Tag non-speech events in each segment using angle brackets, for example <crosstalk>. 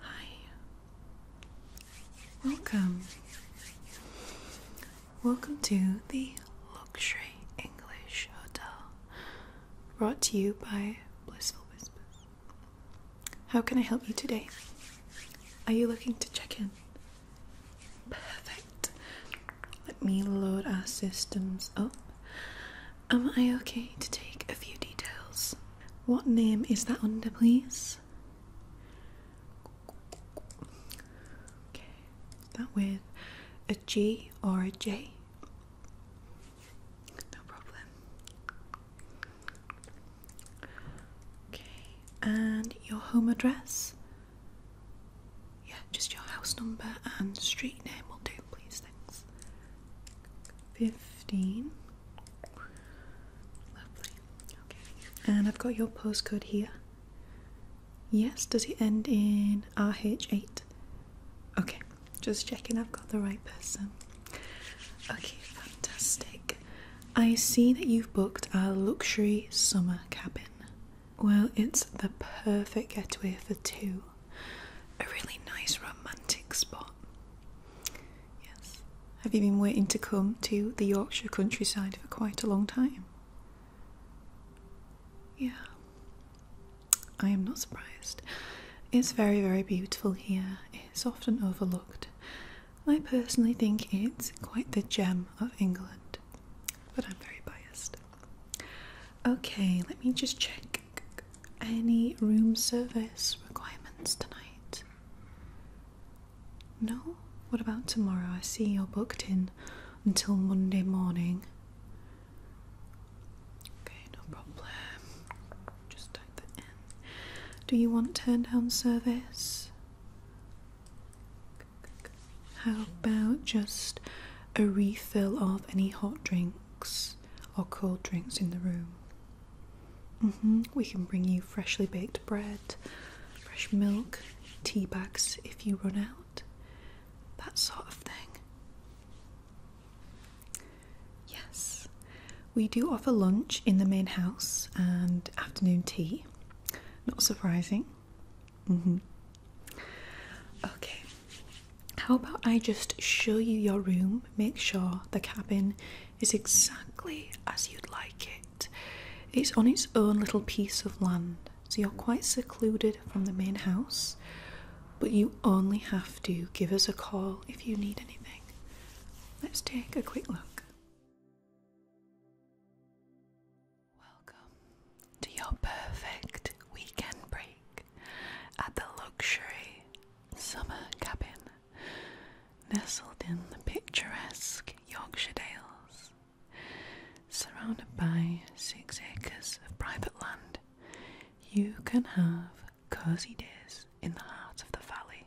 Hi. Welcome. Welcome to the Luxury English Hotel. Brought to you by Blissful Whispers. How can I help you today? Are you looking to check in? Perfect. Let me load our systems up Am I okay to take a few details? What name is that under, please? Okay, that with a G or a J? No problem. Okay, and your home address? Yeah, just your house number and street name will do please. Thanks. Fifteen. Lovely. Okay. And I've got your postcode here. Yes, does it end in RH8? Okay, just checking I've got the right person. Okay, fantastic. I see that you've booked a luxury summer cabin. Well, it's the perfect getaway for two a really nice romantic spot. Yes. Have you been waiting to come to the Yorkshire countryside for quite a long time? Yeah. I am not surprised. It's very, very beautiful here. It's often overlooked. I personally think it's quite the gem of England, but I'm very biased. Okay, let me just check any room service requirements tonight? No? What about tomorrow? I see you're booked in until Monday morning. Okay, no problem. Just type that in. Do you want turn down service? How about just a refill of any hot drink? or cold drinks in the room. Mm-hmm. We can bring you freshly baked bread, fresh milk, tea bags if you run out, that sort of thing. Yes, we do offer lunch in the main house and afternoon tea. Not surprising. Mm-hmm. Okay, how about I just show you your room? Make sure the cabin is exactly as you'd like it. It's on its own little piece of land, so you're quite secluded from the main house, but you only have to give us a call if you need anything. Let's take a quick look. Welcome to your perfect weekend break at the luxury summer cabin nestled in the picturesque Yorkshire Dales. Surrounded by six acres of private land, you can have cozy days in the heart of the valley,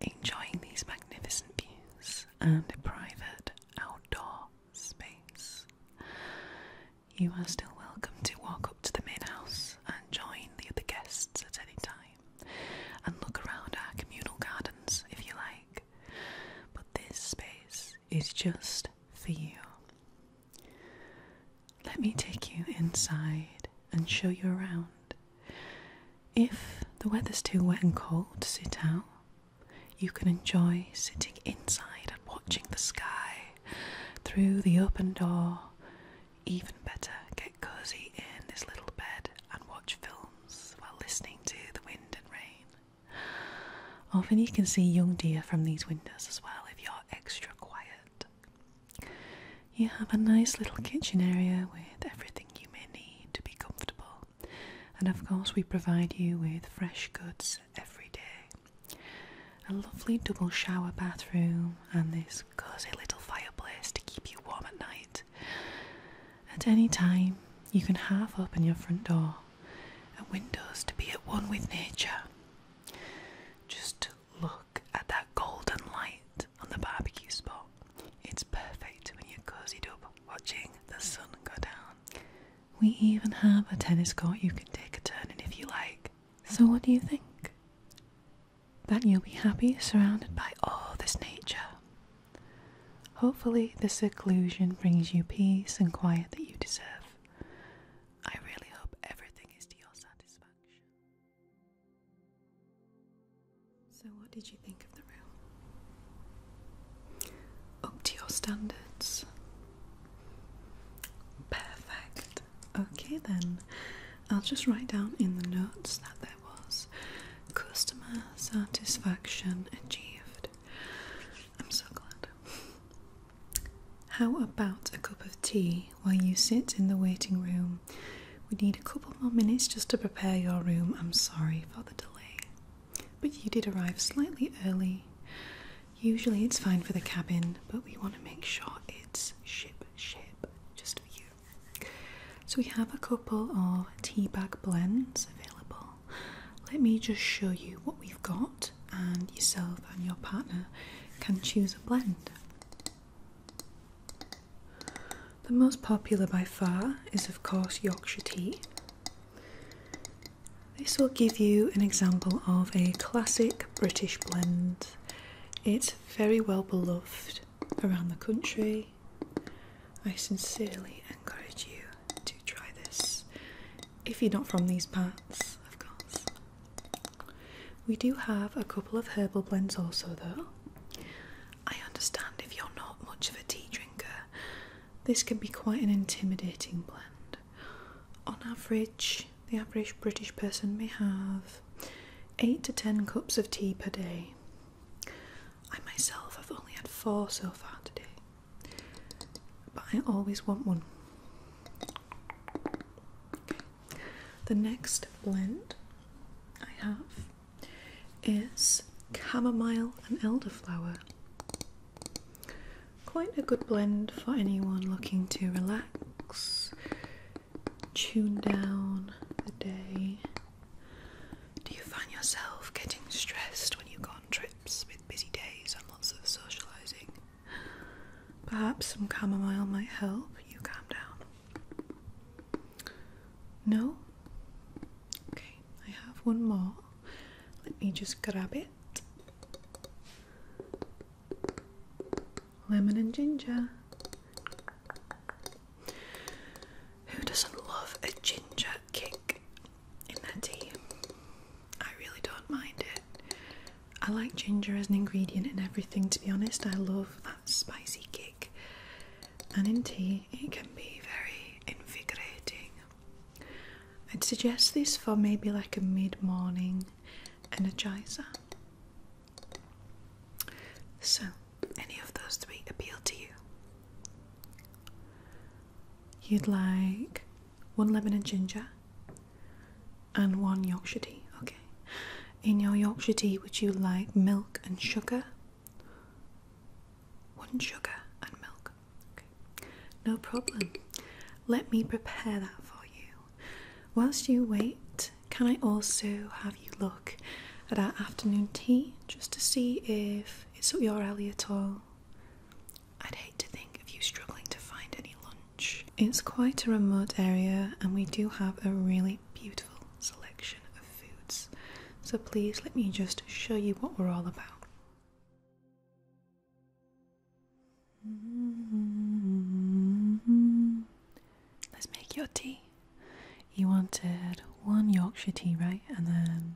enjoying these magnificent views and a private outdoor space. You are still welcome to walk up to the main house and join the other guests at any time and look around our communal gardens if you like. But this space is just for you. Let me take you inside and show you around. If the weather's too wet and cold to sit out, you can enjoy sitting inside and watching the sky through the open door. Even better, get cozy in this little bed and watch films while listening to the wind and rain. Often you can see young deer from these windows as well if you're extra quiet. You have a nice little kitchen area with everything you may need to be comfortable, and of course, we provide you with fresh goods every day. A lovely double shower bathroom and this cozy little fireplace to keep you warm at night. At any time, you can half open your front door and windows to be at one with nature. Just look at that golden light on the barbecue spot. It's perfect when you're cozied up watching the sun go down. We even have a tennis court you can take a turn in if you like. So, what do you think? That you'll be happy surrounded by all this nature. Hopefully, this seclusion brings you peace and quiet that you deserve. I really hope everything is to your satisfaction. So, what did you think of the room? Up to your standards. Perfect. Okay then. I'll just write down in the notes that there was customer satisfaction achieved. I'm so glad. How about a cup of tea while you sit in the waiting room? We need a couple more minutes just to prepare your room. I'm sorry for the delay. But you did arrive slightly early. Usually it's fine for the cabin, but we want to make sure it's ship shape just for you. So we have a couple of tea bag blends available. Let me just show you what we've got, and yourself and your partner can choose a blend. The most popular by far is, of course, Yorkshire tea. This will give you an example of a classic British blend. It's very well beloved around the country. I sincerely encourage you to try this if you're not from these parts, of course. We do have a couple of herbal blends also, though. I understand if you're not much of a tea drinker, this can be quite an intimidating blend. On average, the average British person may have 8 to 10 cups of tea per day. I myself have only had 4 so far today, but I always want one. The next blend I have is chamomile and elderflower. Quite a good blend for anyone looking to relax, tune down the day. Do you find yourself getting stressed when you go on trips with busy days and lots of socialising? Perhaps some chamomile might help you calm down. No? Okay, I have one more. Let me just grab it. Lemon and ginger. Who doesn't love a ginger kick in their tea? I really don't mind it. I like ginger as an ingredient in everything, to be honest. I love that spicy kick. And in tea, it can be very invigorating. I'd suggest this for maybe like a mid morning energizer. So, any of those three appeal to you? You'd like one lemon and ginger and one Yorkshire tea, okay. In your Yorkshire tea, would you like milk and sugar? One sugar and milk. Okay. No problem. Let me prepare that for you. Whilst you wait, can I also have you look at our afternoon tea just to see if it's up your alley at all? I'd hate to think of you struggling to find any lunch. It's quite a remote area and we do have a really beautiful selection of foods. So please let me just show you what we're all about. Mm-hmm. Let's make your tea. You wanted one Yorkshire tea, right? And then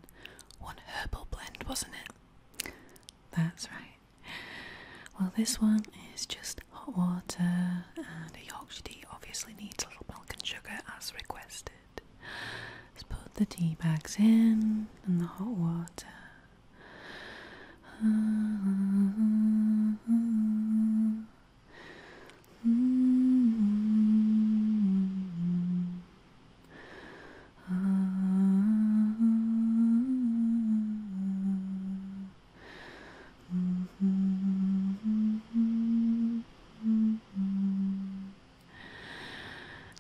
one herbal blend, wasn't it? That's right. Well, this one is just hot water, and a Yorkshire tea obviously needs a little milk and sugar as requested. Let's put the tea bags in and the hot water.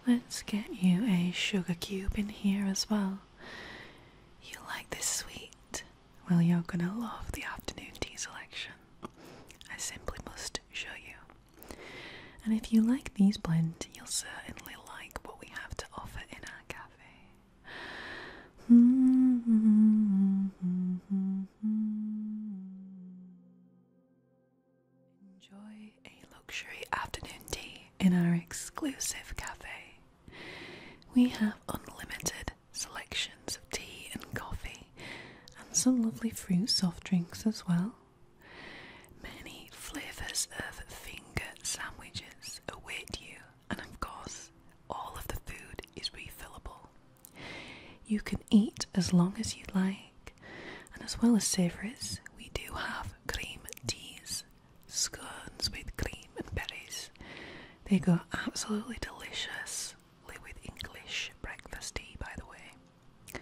Let's get you a sugar cube in here as well. You like this sweet? Well, you're gonna love the afternoon tea selection. I simply must show you. And if you like these blend, you'll certainly like what we have to offer in our cafe. Enjoy a luxury afternoon tea in our exclusive cafe we have unlimited selections of tea and coffee, and some lovely fruit soft drinks as well. Many flavours of finger sandwiches await you, and of course, all of the food is refillable. You can eat as long as you like, and as well as savouries, we do have cream teas scones with cream and berries. They go absolutely deliciously with English breakfast tea, by the way.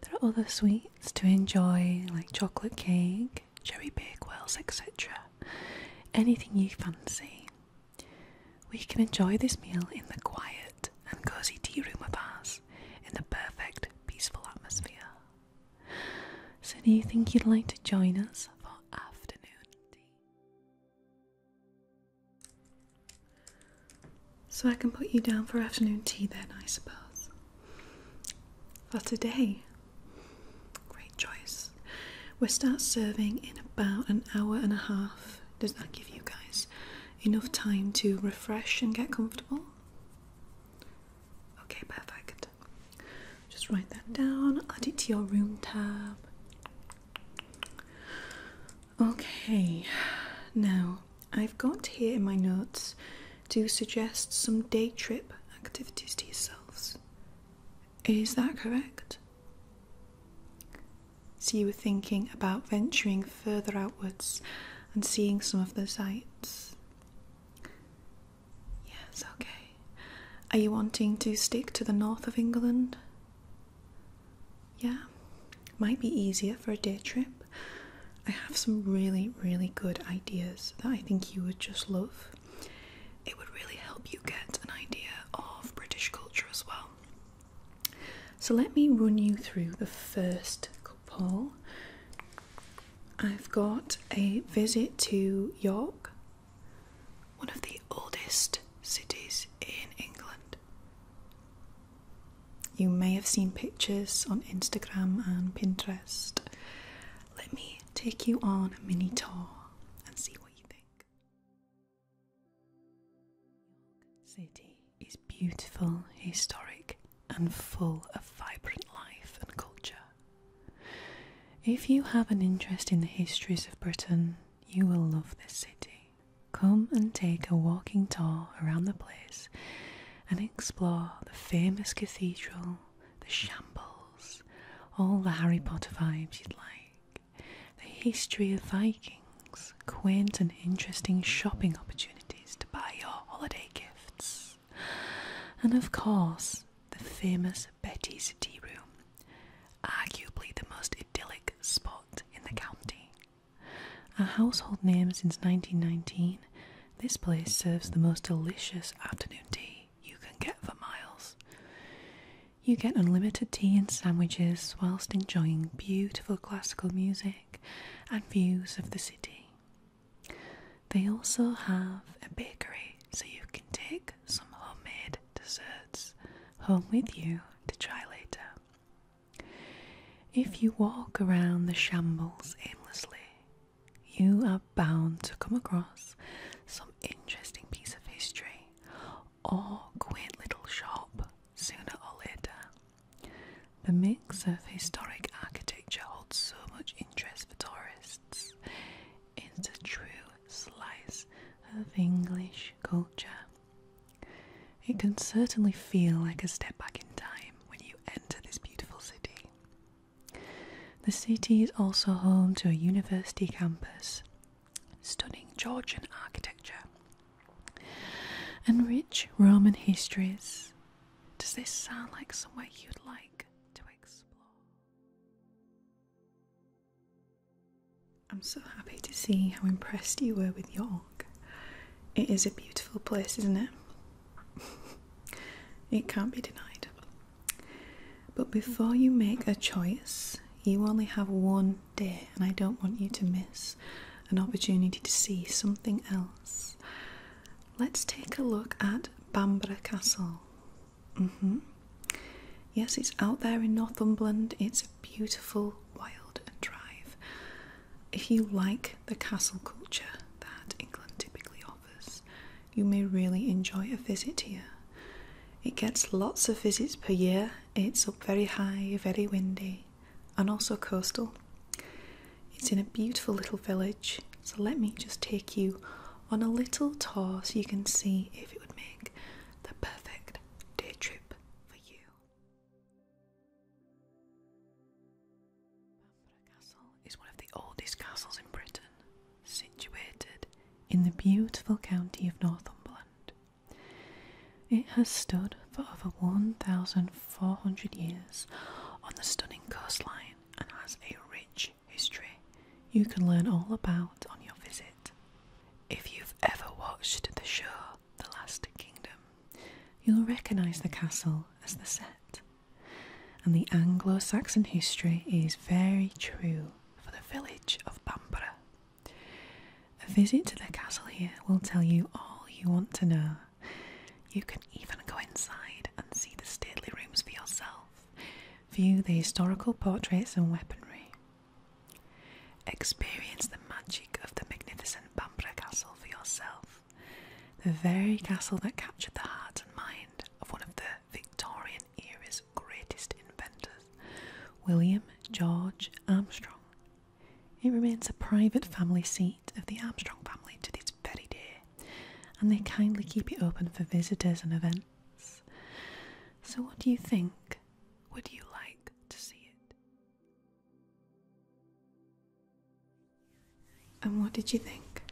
There are other sweets to enjoy, like chocolate cake, cherry bakewells, etc. Anything you fancy. We can enjoy this meal in the quiet and cosy tea room of ours in the perfect peaceful atmosphere. So, do you think you'd like to join us for afternoon tea? So, I can put you down for afternoon tea then, I suppose. For today. Great choice. We'll start serving in about an hour and a half. Does that give you guys enough time to refresh and get comfortable? Okay, perfect. Just write that down, add it to your room tab. Okay, now I've got here in my notes to suggest some day trip activities to yourselves. Is that correct? So you were thinking about venturing further outwards and seeing some of the sights. Yes, okay. Are you wanting to stick to the north of England? Yeah, might be easier for a day trip. I have some really, really good ideas that I think you would just love. It would really help you get an idea of British culture as well. So, let me run you through the first couple. I've got a visit to York, one of the oldest cities in England. You may have seen pictures on Instagram and Pinterest. Let me take you on a mini tour and see what you think. City is beautiful, historic, and full of vibrant life and culture. If you have an interest in the histories of Britain, you will love this city. Come and take a walking tour around the place and explore the famous cathedral, the shambles, all the Harry Potter vibes you'd like, the history of Vikings, quaint and interesting shopping opportunities to buy your holiday gifts, and of course, the famous Betty's Tea Room, arguably the most idyllic spot in the county. A household name since 1919, this place serves the most delicious afternoon tea you can get for miles. You get unlimited tea and sandwiches whilst enjoying beautiful classical music and views of the city. They also have a bakery so you can take some homemade desserts home with you to try later. If you walk around the shambles aimlessly, you are bound to come across some interesting piece of history or quaint little shop sooner or later. The mix of historic architecture holds so much interest for tourists. It's a true slice of English culture. It can certainly feel like a step back in time when you enter this beautiful city. The city is also home to a university campus, stunning Georgian architecture, and rich Roman histories. Does this sound like somewhere you'd like to explore? I'm so happy to see how impressed you were with York. It is a beautiful place, isn't it? <laughs> it can't be denied. But before you make a choice, you only have one day, and I don't want you to miss an opportunity to see something else. Let's take a look at Bamborough Castle. Mm-hmm. Yes, it's out there in Northumberland. It's a beautiful wild drive. If you like the castle culture that England typically offers, you may really enjoy a visit here. It gets lots of visits per year. It's up very high, very windy, and also coastal. It's in a beautiful little village so let me just take you on a little tour so you can see if it would make the perfect day trip for you. Bamborough Castle is one of the oldest castles in Britain, situated in the beautiful county of Northumberland. It has stood for over 1,400 years on the stunning coastline and has a rich history you can learn all about on your visit. If you've ever watched the show The Last Kingdom, you'll recognise the castle as the set. And the Anglo Saxon history is very true for the village of Bamborough. A visit to the castle here will tell you all you want to know. You can even go inside and see the stately rooms for yourself, View the historical portraits and weaponry. Experience the magic of the magnificent Bambra Castle for yourself, the very castle that captured the heart and mind of one of the Victorian era's greatest inventors, William George Armstrong. It remains a private family seat of the Armstrong family to this very day and they kindly keep it open for visitors and events. So, what do you think? Would you like to see it? And what did you think?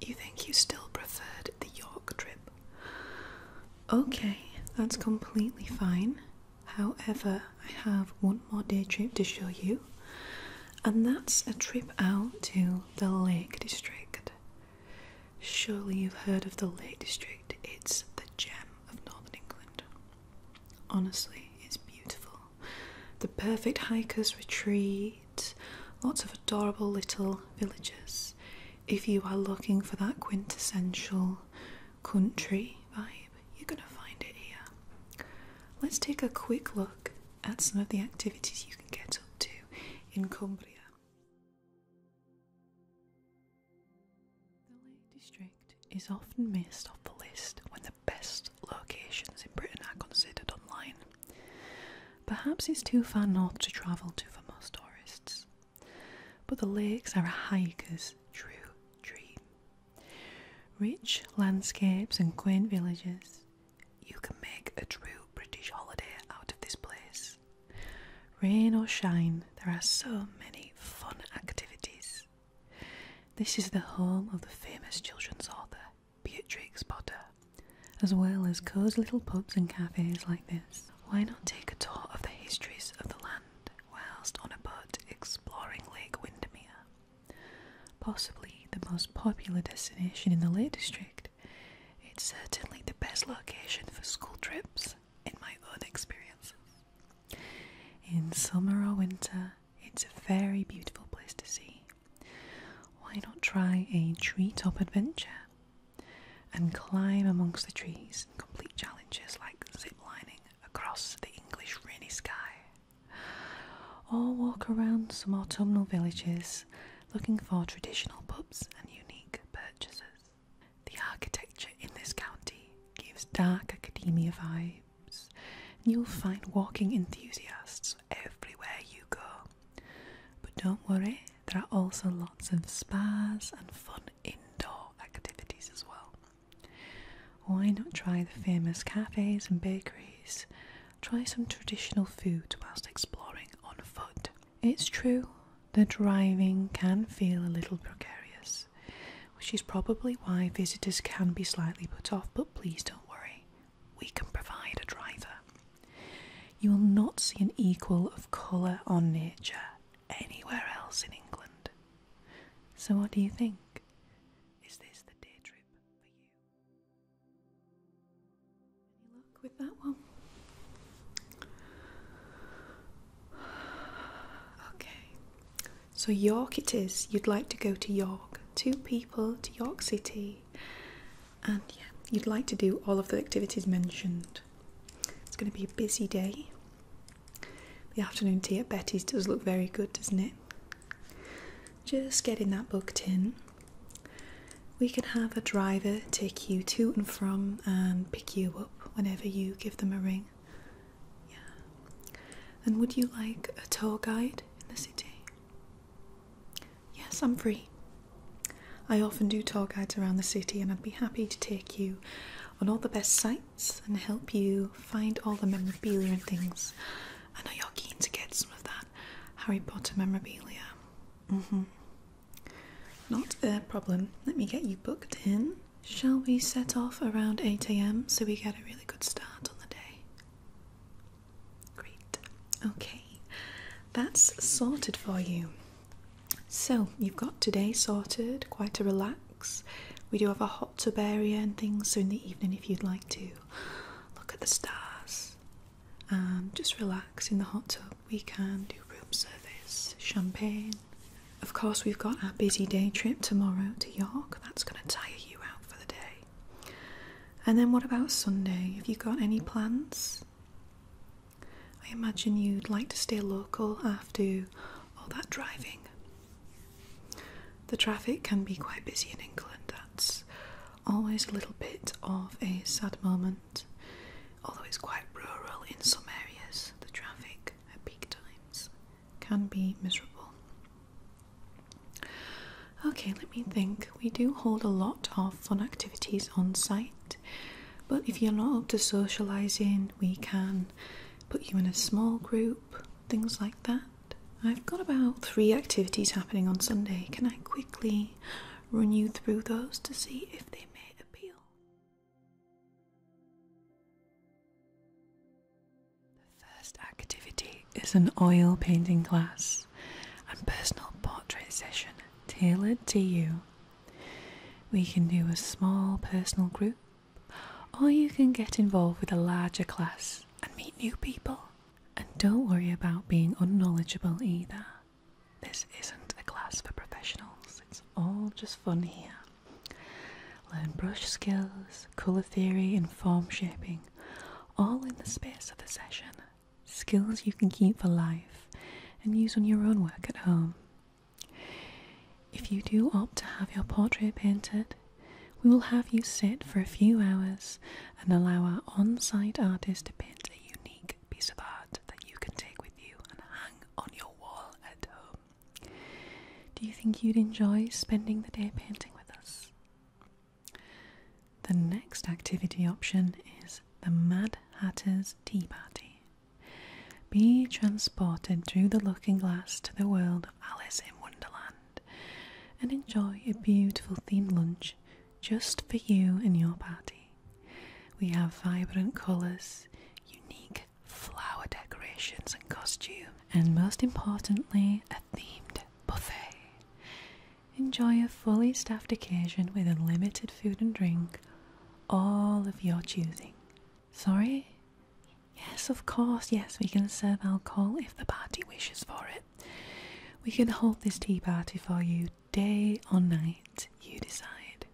You think you still preferred the York trip? Okay, that's completely fine. However, I have one more day trip to show you and that's a trip out to the Lake District. Surely you've heard of the Lake District, it's the gem of northern England. Honestly, it's beautiful. The perfect hiker's retreat, lots of adorable little villages. If you are looking for that quintessential country vibe, you're going to find it here. Let's take a quick look at some of the activities you can get up to in Cumbria. The Lake District is often missed off the list when the best locations in Britain are considered online. Perhaps it's too far north to travel to for most tourists, but the lakes are a hiker's true dream. Rich landscapes and quaint villages, you can make a true British holiday out of this place. Rain or shine, there are so many fun activities. This is the home of the famous children's author, Beatrix Potter, as well as cozy little pubs and cafes like this. Why not take a tour of the histories of the land whilst on a boat exploring Lake Windermere? Possibly the most popular destination in the Lake District, it's certainly the best location for school trips in my own experiences. In summer or winter, it's a very beautiful place to see. Why not try a treetop adventure and climb amongst the trees and complete challenges like zip lining across the English rainy sky? or walk around some autumnal villages looking for traditional pubs and unique purchases. The architecture in this county gives dark academia vibes, and you'll find walking enthusiasts everywhere you go. But don't worry, there are also lots of spas and fun indoor activities as well. Why not try the famous cafes and bakeries Try some traditional foods whilst exploring on foot. It's true that driving can feel a little precarious, which is probably why visitors can be slightly put off, but please don't worry, we can provide a driver. You will not see an equal of colour or nature anywhere else in England. So, what do you think? Is this the day trip for you? Any with that one? Okay. So York it is. You'd like to go to York. Two people to York City. And yeah, you'd like to do all of the activities mentioned. It's going to be a busy day. The afternoon tea at Betty's does look very good, doesn't it? Just getting that booked in. We can have a driver take you to and from and pick you up whenever you give them a ring. Yeah. And would you like a tour guide in the city? Yes, I'm free. I often do tour guides around the city and I'd be happy to take you on all the best sites and help you find all the memorabilia and things I know you're keen to get some of that Harry Potter memorabilia. Mm-hmm. Not a problem. Let me get you booked in. Shall we set off around 8 am so we get a really good start on the day? Great. Okay, that's sorted for you. So, you've got today sorted, quite a relax. We do have a hot tub area and things, so in the evening, if you'd like to, look at the stars. Um, just relax in the hot tub. We can do room service, champagne. Of course, we've got our busy day trip tomorrow to York. That's going to tire you out for the day. And then, what about Sunday? Have you got any plans? I imagine you'd like to stay local after all that driving. The traffic can be quite busy in England, that's always a little bit of a sad moment, although it's quite rural in some areas, the traffic at peak times can be miserable. Okay, let me think. We do hold a lot of fun activities on site, but if you're not up to socialising, we can put you in a small group, things like that. I've got about three activities happening on Sunday. Can I quickly run you through those to see if they may appeal? The first activity is an oil painting class and personal portrait session tailored to you. We can do a small personal group, or you can get involved with a larger class and meet new people and don't worry about being unknowledgeable either. This isn't a class for professionals, it's all just fun here. Learn brush skills, colour theory, and form shaping, all in the space of a session. Skills you can keep for life and use on your own work at home. If you do opt to have your portrait painted, we will have you sit for a few hours and allow our on site artist to paint a unique piece of art that you can take with you and hang on your wall at home. Do you think you'd enjoy spending the day painting with us? The next activity option is the Mad Hatter's Tea Party. Be transported through the looking glass to the world of Alice in Wonderland and enjoy a beautiful themed lunch just for you and your party. We have vibrant colours, unique flower decorations and costume, and most importantly, a themed buffet. Enjoy a fully staffed occasion with unlimited food and drink, all of your choosing. Sorry? Yes, of course, yes, we can serve alcohol if the party wishes for it. We can hold this tea party for you day or night, you decide.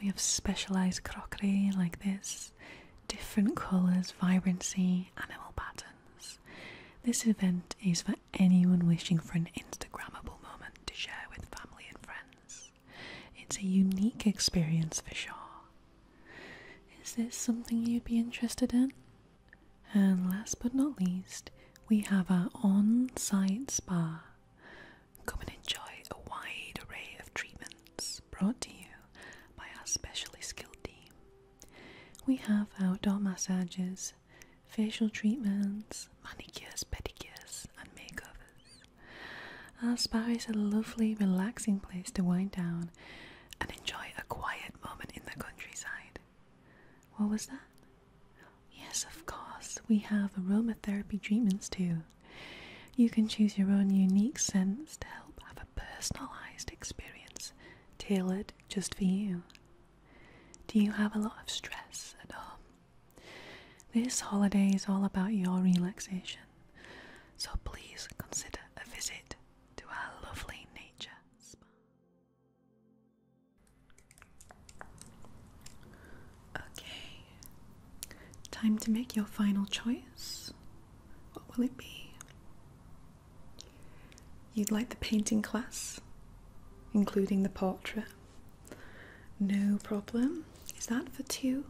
We have specialised crockery like this, different colours, vibrancy, animal patterns. This event is for anyone wishing for an Instagrammable moment to share with family and friends. It's a unique experience for sure. Is this something you'd be interested in? And last but not least, we have our on site spa. Come and enjoy a wide array of treatments brought to you by our specially skilled team. We have outdoor massages, facial treatments, manicures, pedicures, and makeovers. Our spa is a lovely, relaxing place to wind down and enjoy a quiet moment in the countryside. What was that? Yes, of course, we have aromatherapy treatments too. You can choose your own unique scent to help have a personalized experience tailored just for you. Do you have a lot of stress at home? This holiday is all about your relaxation, so please consider a visit to our lovely nature spa. Okay, time to make your final choice. What will it be? You'd like the painting class, including the portrait? No problem. Is that for two?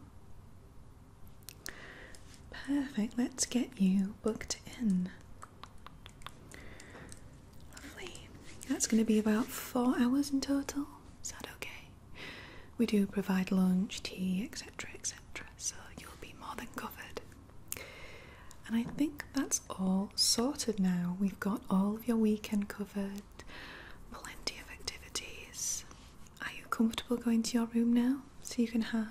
Perfect, let's get you booked in. Lovely. That's going to be about four hours in total. Is that okay? We do provide lunch, tea, etc., etc., so you'll be more than covered. And I think that's all sorted now. We've got all of your weekend covered, plenty of activities. Are you comfortable going to your room now so you can have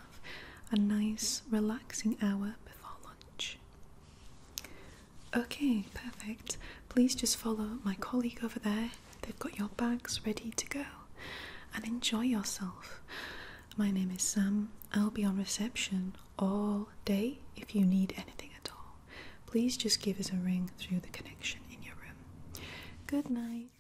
a nice, relaxing hour before lunch? Okay, perfect. Please just follow my colleague over there. They've got your bags ready to go and enjoy yourself. My name is Sam. I'll be on reception all day if you need anything at all. Please just give us a ring through the connection in your room. Good night.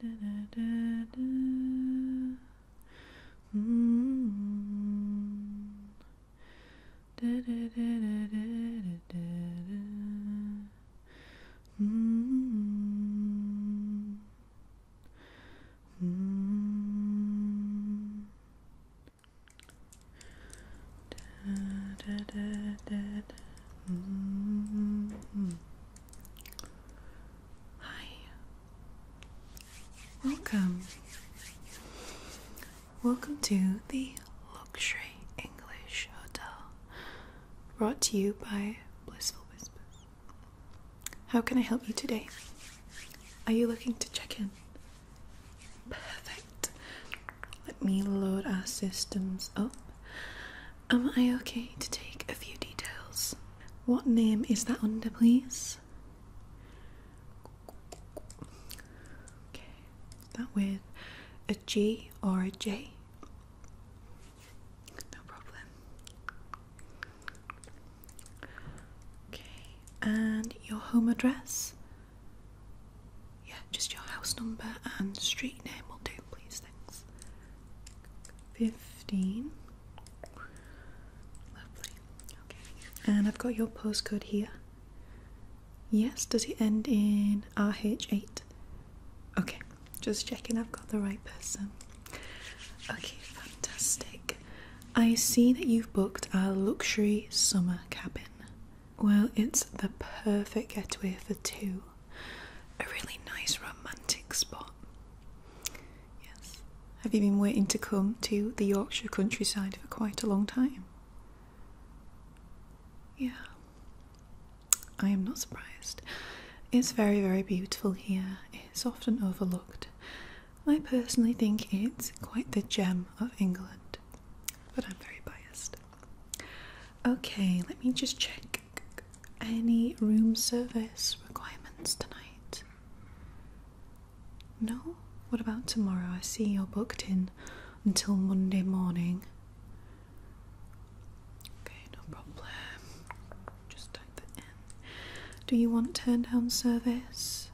Da, da, da, mm. Mm. Mm. Hi. Welcome. Welcome to the Luxury English Hotel. Brought to you by Blissful Whispers. How can I help you today? Are you looking to check in? Perfect. Let me load our systems up. Am I okay to take a few details? What name is that under, please? Okay, is that with a G or a J? No problem. Okay, and your home address? Yeah, just your house number and street name will do, please. Thanks. 15. Lovely. Okay. And I've got your postcode here. Yes, does it end in RH8? Okay, just checking I've got the right person. Okay, fantastic. I see that you've booked a luxury summer cabin. Well, it's the perfect getaway for two. A really nice romantic spot. Yes. Have you been waiting to come to the Yorkshire countryside for quite a long time? Yeah. I am not surprised. It's very, very beautiful here. It's often overlooked. I personally think it's quite the gem of England, but I'm very biased. Okay, let me just check any room service requirements tonight. No? What about tomorrow? I see you're booked in until Monday morning. Okay, no problem. Just type that in. Do you want turn down service?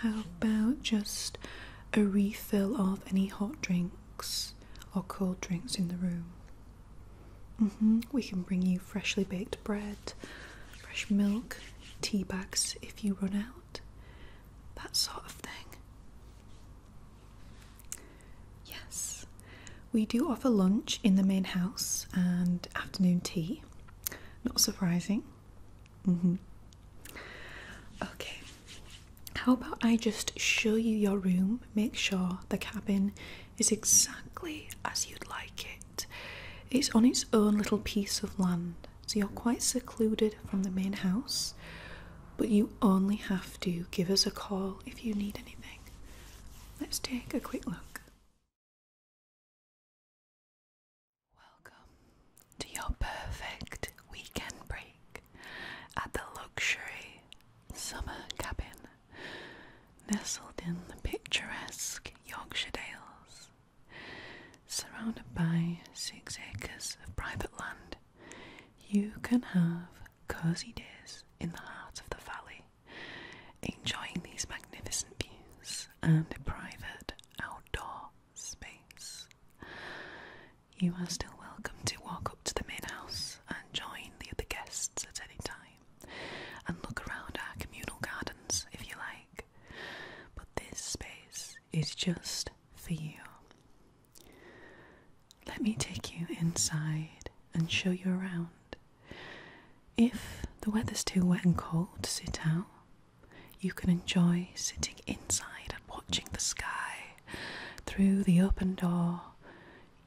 How about just a refill of any hot drinks or cold drinks in the room? Mm-hmm. We can bring you freshly baked bread, fresh milk, tea bags if you run out, that sort of thing. Yes, we do offer lunch in the main house and afternoon tea. Not surprising. Mm-hmm. Okay, how about I just show you your room? Make sure the cabin is exactly as you'd like it. It's on its own little piece of land, so you're quite secluded from the main house, but you only have to give us a call if you need anything. Let's take a quick look. Welcome to your perfect weekend break at the luxury summer cabin nestled in the picturesque Yorkshire Dales, surrounded by six acres of private land. You can have cozy days in the heart of the valley, enjoying these magnificent views and a private outdoor space. You are still welcome to walk up to the main house and join the other guests at any time and look around our communal gardens if you like. But this space is just for you. Let me take you inside and show you around. If the weather's too wet and cold to sit out, you can enjoy sitting inside and watching the sky through the open door.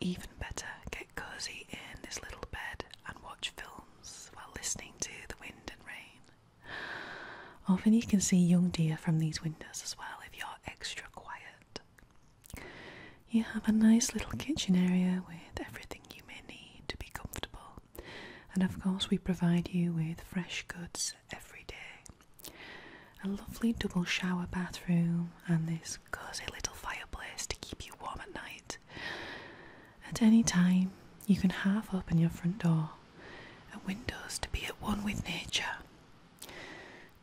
Even better, get cozy in this little bed and watch films while listening to the wind and rain. Often you can see young deer from these windows as well if you're extra quiet. You have a nice little kitchen area with everything you may need to be comfortable. And of course, we provide you with fresh goods every day. A lovely double shower bathroom and this cosy little fireplace to keep you warm at night. At any time, you can half open your front door and windows to be at one with nature.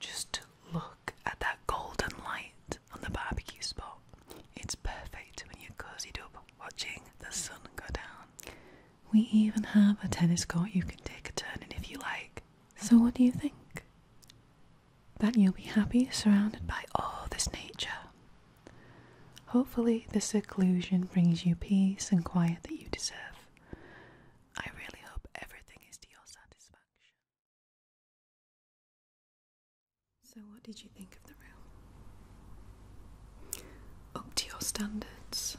Just look at that golden light on the barbecue spot. It's perfect when you're cozied up watching the sun go down. We even have a tennis court you can take a turn in if you like. So, what do you think? That you'll be happy surrounded by all this nature. Hopefully, this seclusion brings you peace and quiet that you deserve. I really hope everything is to your satisfaction. So, what did you think of the room? up to your standards.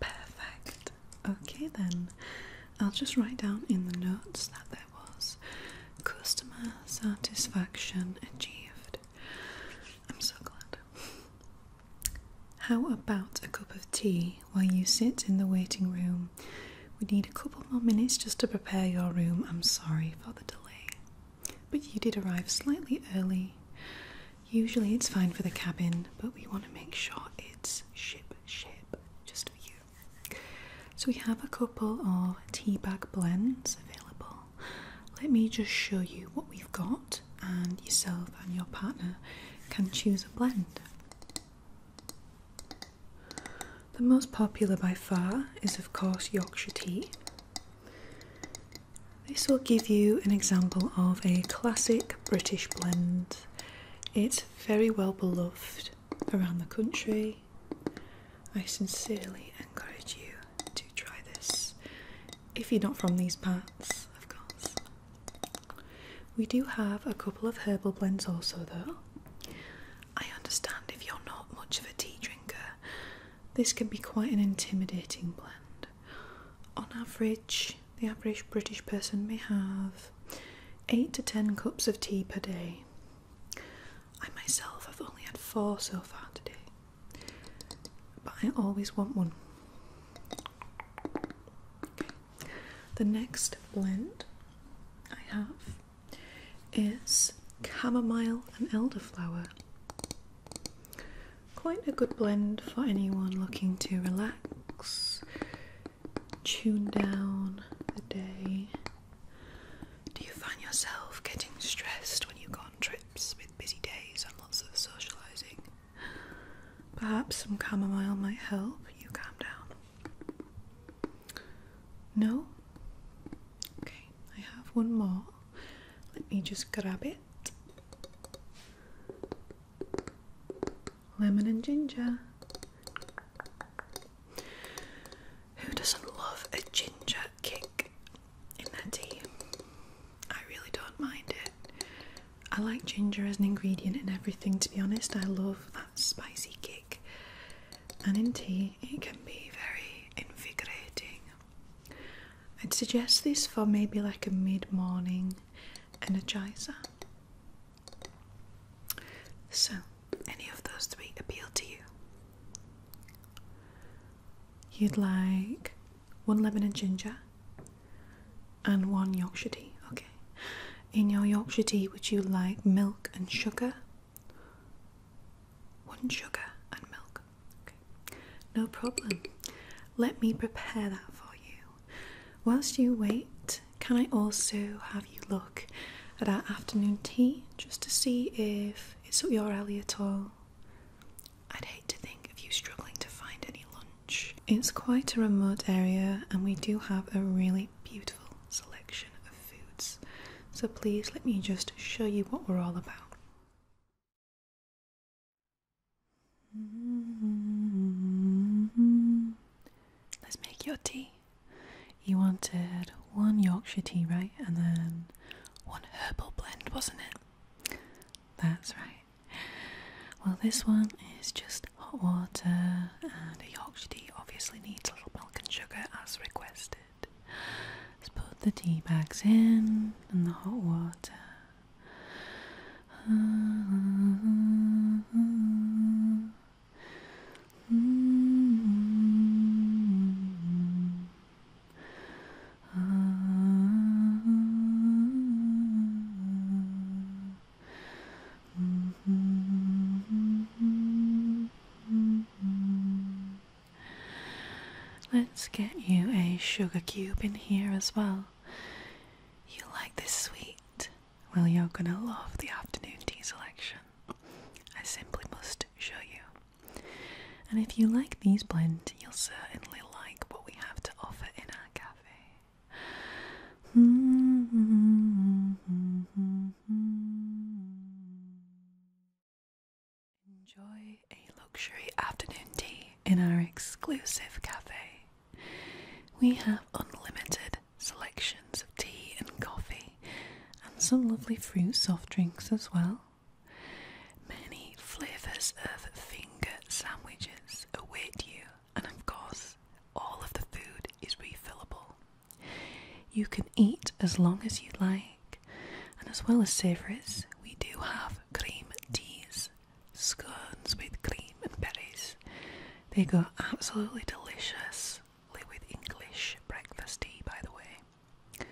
Perfect. Okay, then I'll just write down in the notes that there was customer satisfaction achieved. I'm so glad. How about a cup of tea while you sit in the waiting room? We need a couple more minutes just to prepare your room. I'm sorry for the delay. But you did arrive slightly early. Usually it's fine for the cabin, but we want to make sure it's ship shape just for you. So we have a couple of tea bag blends available. Let me just show you what we've got, and yourself and your partner can choose a blend. The most popular by far is, of course, Yorkshire tea. This will give you an example of a classic British blend. It's very well beloved around the country. I sincerely encourage you to try this if you're not from these parts, of course. We do have a couple of herbal blends also, though. I understand if you're not much of a tea drinker this can be quite an intimidating blend. On average, the average British person may have 8 to 10 cups of tea per day. I myself have only had 4 so far today, but I always want one. The next blend I have is chamomile and elderflower. Quite a good blend for anyone looking to relax, tune down the day. Do you find yourself getting stressed when you go on trips with busy days and lots of socialising? Perhaps some chamomile might help you calm down. No? Okay, I have one more. Let me just grab it. Lemon and ginger. Who doesn't love a ginger kick in their tea? I really don't mind it. I like ginger as an ingredient in everything, to be honest. I love that spicy kick, and in tea, it can be very invigorating. I'd suggest this for maybe like a mid morning energizer. So, any of those three appeal to you? You'd like one lemon and ginger and one Yorkshire tea, okay. In your Yorkshire tea, would you like milk and sugar? One sugar and milk. No problem. Let me prepare that for you. Whilst you wait, can I also have you look at our afternoon tea just to see if it's up your alley at all? I'd hate to think of you struggling to find any lunch. It's quite a remote area and we do have a really beautiful selection of foods. So please let me just show you what we're all about. Mm-hmm. Let's make your tea. You wanted one Yorkshire tea, right? And then one herbal blend, wasn't it? That's right. Well, this one is just hot water, and a Yorkshire tea obviously needs a little milk and sugar as requested. Just put the tea bags in and the hot water. <laughs> Let's get you a sugar cube in here as well. You like this sweet? Well, you're gonna love the afternoon tea selection. I simply must show you. And if you like these blend, you'll certainly like what we have to offer in our cafe. Mm-hmm. Enjoy a luxury afternoon tea in our exclusive cafe. We have unlimited selections of tea and coffee, and some lovely fruit soft drinks as well. Many flavours of finger sandwiches await you, and of course, all of the food is refillable. You can eat as long as you like and as well as savouries, we do have cream teas, scones with cream and berries. They go absolutely delicious with English breakfast tea, by the way.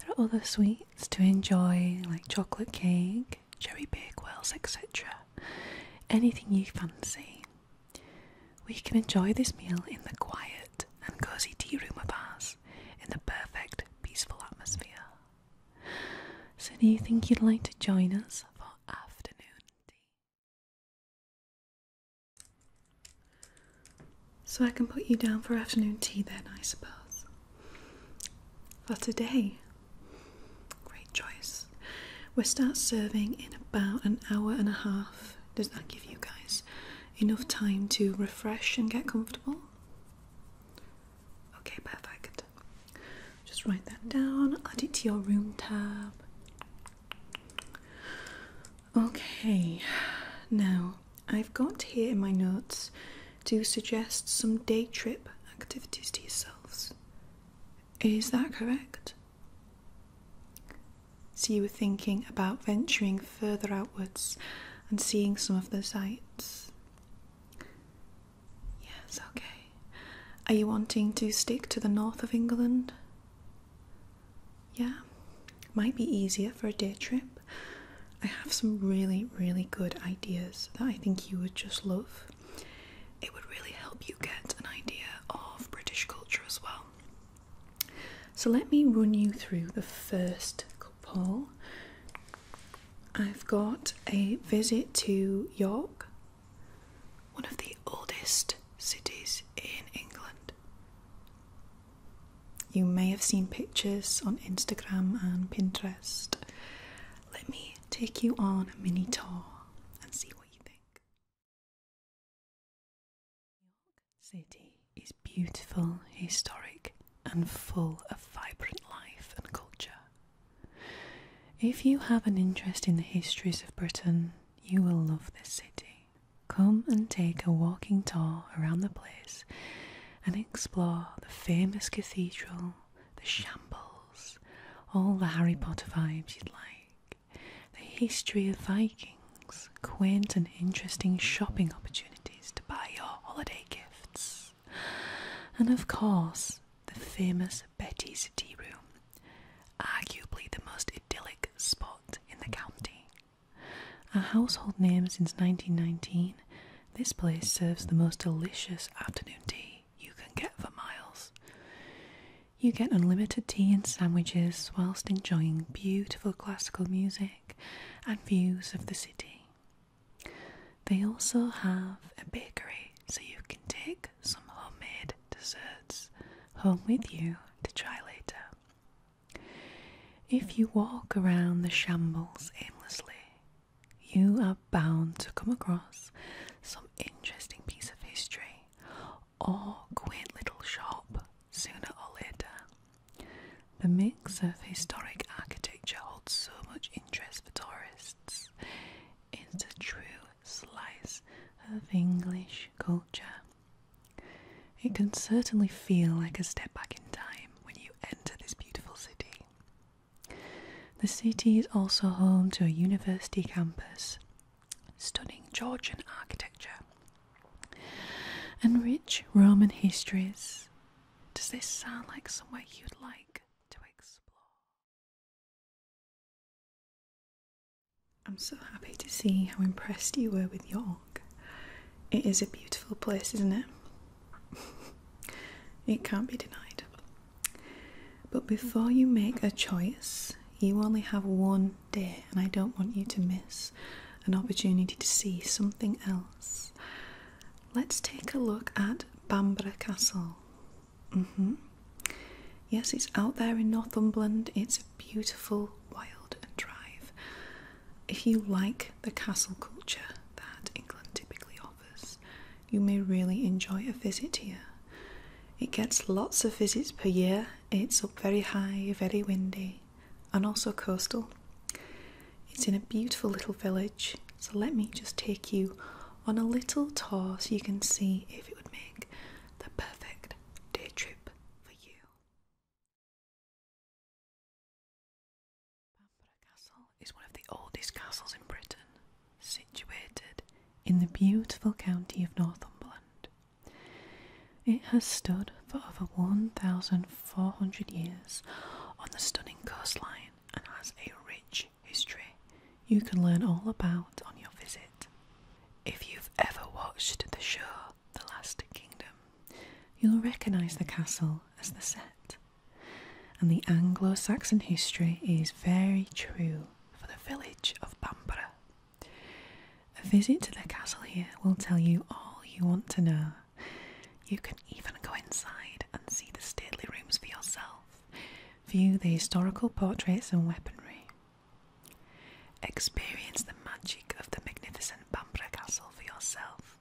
There are other sweets to enjoy, like chocolate cake, cherry bakewells, etc. Anything you fancy. We can enjoy this meal in the quiet and cosy tea room of ours, in the perfect, peaceful atmosphere. So, do you think you'd like to join us for afternoon tea? So, I can put you down for afternoon tea then, I suppose. For today. Great choice. We'll start serving in about an hour and a half. Does that give you guys enough time to refresh and get comfortable? Okay, perfect. Just write that down, add it to your room tab. Okay, now I've got here in my notes to suggest some day trip activities to yourselves. Is that correct? So you were thinking about venturing further outwards and seeing some of the sights. Yes, okay. Are you wanting to stick to the north of England? Yeah, might be easier for a day trip. I have some really, really good ideas that I think you would just love. It would really help you get an idea of British culture as well. So, let me run you through the first couple. I've got a visit to York, one of the oldest cities in England. You may have seen pictures on Instagram and Pinterest. Let me take you on a mini tour and see what you think. York City is beautiful, historic, and full of vibrant life and culture. If you have an interest in the histories of Britain, you will love this city. Come and take a walking tour around the place and explore the famous cathedral, the shambles, all the Harry Potter vibes you'd like, the history of Vikings, quaint and interesting shopping opportunities to buy your holiday gifts. And of course, the famous Betty's Tea Room, arguably the most idyllic spot in the county. A household name since 1919, this place serves the most delicious afternoon tea you can get for miles. You get unlimited tea and sandwiches whilst enjoying beautiful classical music and views of the city. They also have a bakery so you can take some homemade desserts home with you to try later. If you walk around the shambles aimlessly, you are bound to come across some interesting piece of history or quaint little shop sooner or later the mix of historic architecture holds so much interest for tourists. It's a true slice of English culture. It can certainly feel like a step back in time when you enter this beautiful city. The city is also home to a university campus, stunning Georgian architecture, and rich Roman histories. Does this sound like somewhere you'd like to explore? I'm so happy to see how impressed you were with York. It is a beautiful place, isn't it? <laughs> it can't be denied. But before you make a choice, you only have one day, and I don't want you to miss an opportunity to see something else. Let's take a look at Bamborough Castle. Mm-hmm. Yes, it's out there in Northumberland. It's a beautiful wild drive. If you like the castle culture that England typically offers, you may really enjoy a visit here. It gets lots of visits per year. It's up very high, very windy and also coastal. It's in a beautiful little village, so let me just take you on a little tour so you can see if it would make the perfect day trip for you. Bamborough Castle is one of the oldest castles in Britain, situated in the beautiful county of Northumberland. It has stood for over 1,400 400 years on the stunning coastline and has a rich history you can learn all about on your visit. If you've ever watched the show The Last Kingdom, you'll recognise the castle as the set. And the Anglo Saxon history is very true for the village of Bamborough. A visit to the castle here will tell you all you want to know you can even go inside and see the stately rooms for yourself, view the historical portraits and weaponry, experience the magic of the magnificent Bambra Castle for yourself,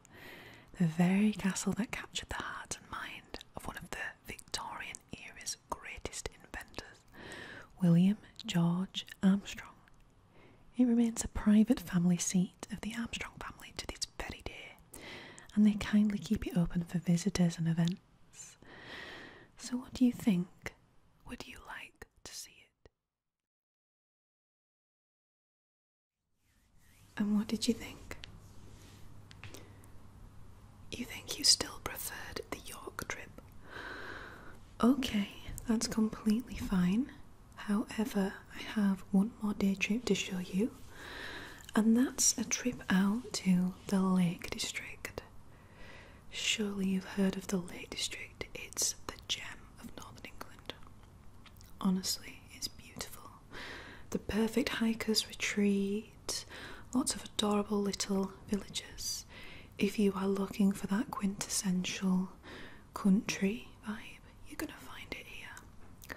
the very castle that captured the heart and mind of one of the Victorian era's greatest inventors, William George Armstrong. It remains a private family seat of the Armstrong family to this day very dear, and they kindly keep it open for visitors and events. So, what do you think? Would you like to see it? And what did you think? You think you still preferred the York trip? Okay, that's completely fine. However, I have one more day trip to show you, and that's a trip out to the Lake District. Surely you've heard of the Lake District, it's the gem of northern England. Honestly, it's beautiful. The perfect hikers retreat, lots of adorable little villages. If you are looking for that quintessential country vibe. You're gonna find it here.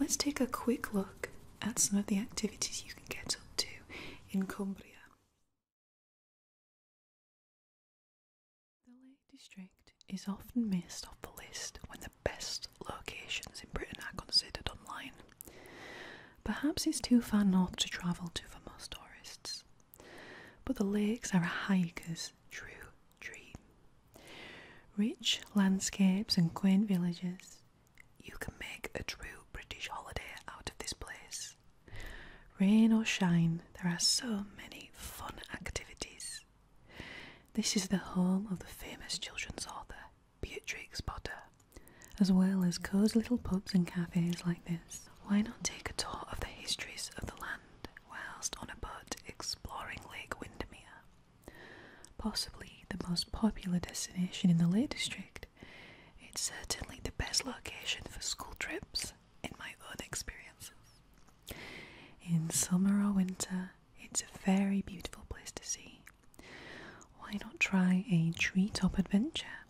Let's take a quick look at some of the activities you can get up to in Cumbria. The Lake District is often missed off the list when the best locations in Britain are considered online. Perhaps it's too far north to travel to for most tourists, but the lakes are a hiker's true dream. Rich landscapes and quaint villages. You can make a true British holiday out of this place. Rain or shine, there are so many fun activities. This is the home of the famous children's author Beatrix Potter, as well as cozy little pubs and cafes like this. Why not take a tour of the histories of the land whilst on a boat exploring Lake Windermere? Possibly the most popular destination in the Lake District, it's certainly the best location for school trips in my own experiences. In summer or winter, it's a very beautiful place to see. Why not try a treetop adventure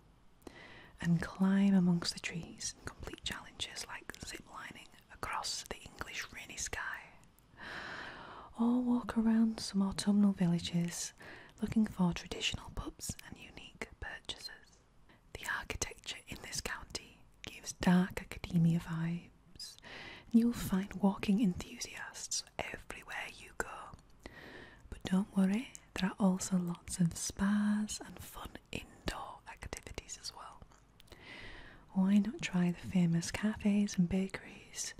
and climb amongst the trees and complete challenges like zip lining across the English rainy sky? or walk around some autumnal villages looking for traditional pubs and unique purchases. The architecture in this county gives dark academia vibes, and you'll find walking enthusiasts everywhere you go. But don't worry, there are also lots of spas and fun indoor activities as well. Why not try the famous cafes and bakeries?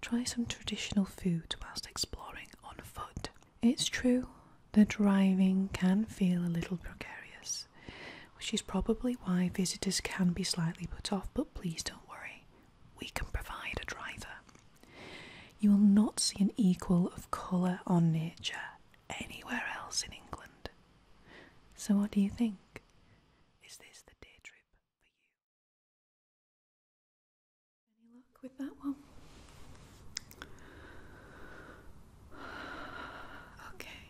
Try some traditional food whilst exploring on foot. It's true, that driving can feel a little precarious, which is probably why visitors can be slightly put off, but please don't worry, we can provide a driver. You will not see an equal of colour or nature anywhere else in England. So, what do you think? Is this the day trip for you? Any luck with that one? Okay,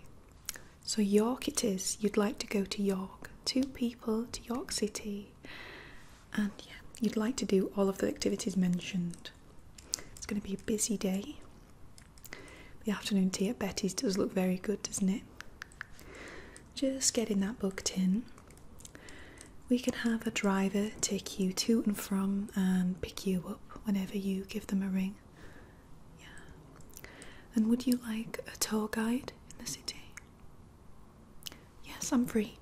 so York it is. You'd like to go to York. Two people to York City, and yeah, you'd like to do all of the activities mentioned. It's going to be a busy day. The afternoon tea at Betty's does look very good, doesn't it? Just getting that booked in. We can have a driver take you to and from and pick you up whenever you give them a ring. Yeah. And would you like a tour guide in the city? Yes, I'm free.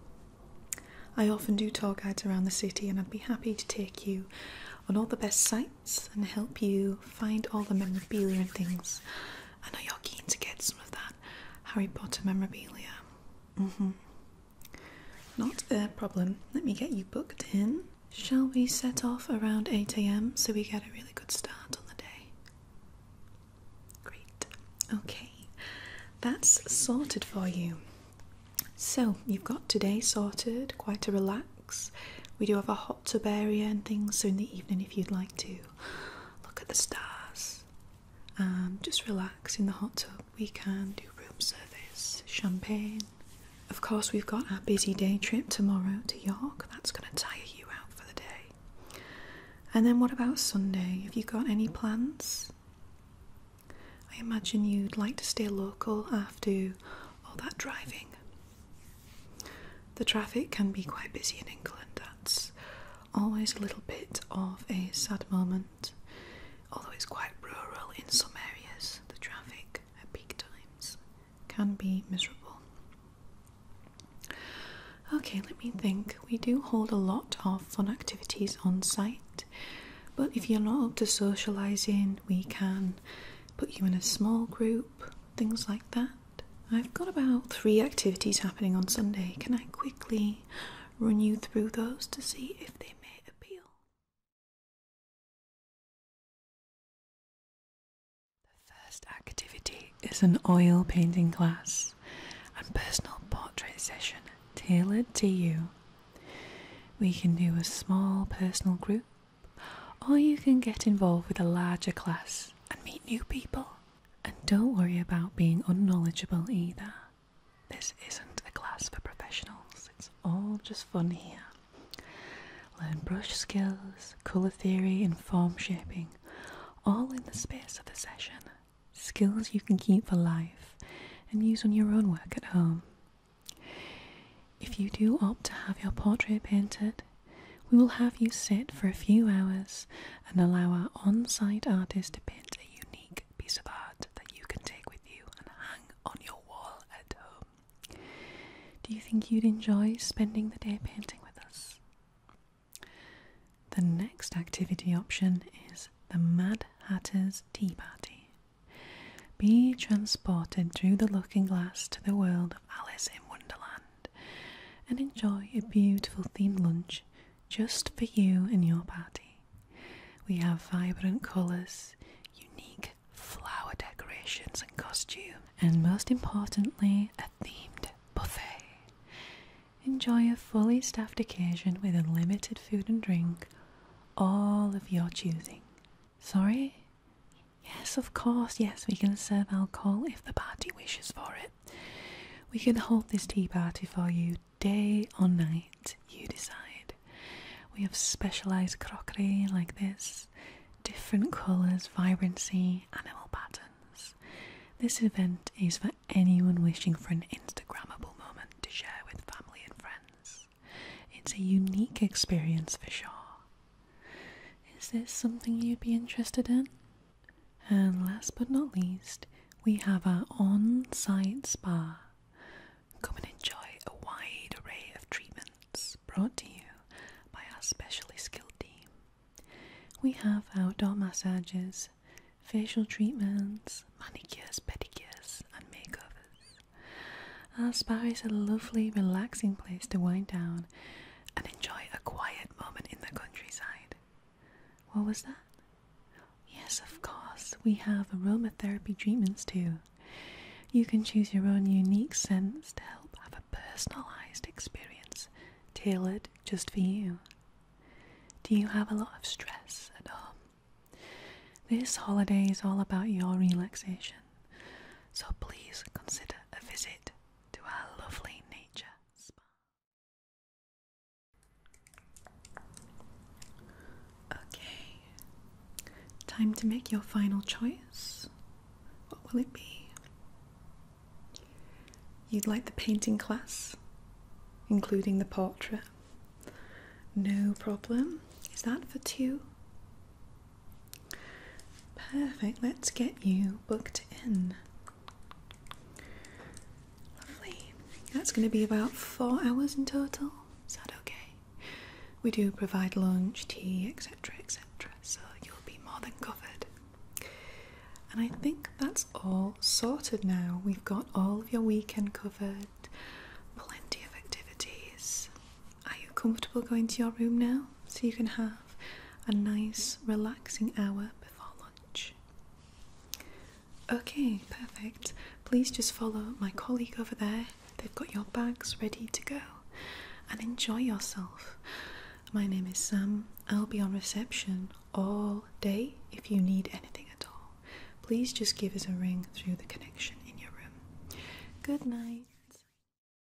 I often do tour guides around the city and I'd be happy to take you on all the best sights and help you find all the memorabilia and things. I know you're keen to get some of that Harry Potter memorabilia. Mm-hmm. Not a problem. Let me get you booked in. Shall we set off around 8 am so we get a really good start on the day? Great. Okay, that's sorted for you. So, you've got today sorted, quite a relaxed we do have a hot tub area and things, so in the evening, if you'd like to look at the stars, um, just relax in the hot tub. We can do room service, champagne. Of course, we've got our busy day trip tomorrow to York. That's going to tire you out for the day. And then, what about Sunday? Have you got any plans? I imagine you'd like to stay local after all that driving. The traffic can be quite busy in England, that's always a little bit of a sad moment, although it's quite rural in some areas, the traffic at peak times can be miserable. Okay, let me think. We do hold a lot of fun activities on site, but if you're not up to socialising, we can put you in a small group things like that. I've got about three activities happening on Sunday. Can I quickly run you through those to see if they may appeal? The first activity is an oil painting class and personal portrait session tailored to you. We can do a small personal group or you can get involved with a larger class and meet new people. And don't worry about being unknowledgeable either. This isn't a class for professionals, it's all just fun here. Learn brush skills, colour theory, and form shaping, all in the space of a session. Skills you can keep for life and use on your own work at home. If you do opt to have your portrait painted, we will have you sit for a few hours and allow our on site artist to paint a unique piece of art that you can take with you and hang on your wall at home. Do you think you'd enjoy spending the day painting with us? The next activity option is the Mad Hatter's Tea Party. Be transported through the looking glass to the world of Alice in Wonderland and enjoy a beautiful themed lunch just for you and your party. We have vibrant colours, unique flower decorations and costume, and most importantly, a themed buffet. Enjoy a fully staffed occasion with unlimited food and drink, all of your choosing. Sorry? Yes, of course, yes, we can serve alcohol if the party wishes for it. We can hold this tea party for you day or night, you decide. We have specialised crockery like this, different colours, vibrancy, animal patterns. This event is for anyone wishing for an Instagrammable moment to share with family and friends. It's a unique experience for sure. Is this something you'd be interested in? And last but not least, we have our on site spa. Come and enjoy a wide array of treatments brought to you by our specially skilled team. We have outdoor massages, facial treatments, manicures, pedicures, and makeovers. Our spa is a lovely, relaxing place to wind down and enjoy a quiet moment in the countryside. What was that? Yes, of course, we have aromatherapy treatments too. You can choose your own unique scents to help have a personalized experience tailored just for you. Do you have a lot of stress at home? This holiday is all about your relaxation, so please consider a visit to our lovely nature spa. Okay, time to make your final choice. What will it be? You'd like the painting class, including the portrait? No problem. Is that for two? Perfect, let's get you booked in. Lovely. That's going to be about four hours in total. Is that okay? We do provide lunch, tea, etc., etc., so you'll be more than covered. And I think that's all sorted now. We've got all of your weekend covered, plenty of activities. Are you comfortable going to your room now so you can have a nice, relaxing hour before lunch? Okay, perfect. Please just follow my colleague over there. They've got your bags ready to go and enjoy yourself. My name is Sam. I'll be on reception all day if you need anything at all. Please just give us a ring through the connection in your room. Good night.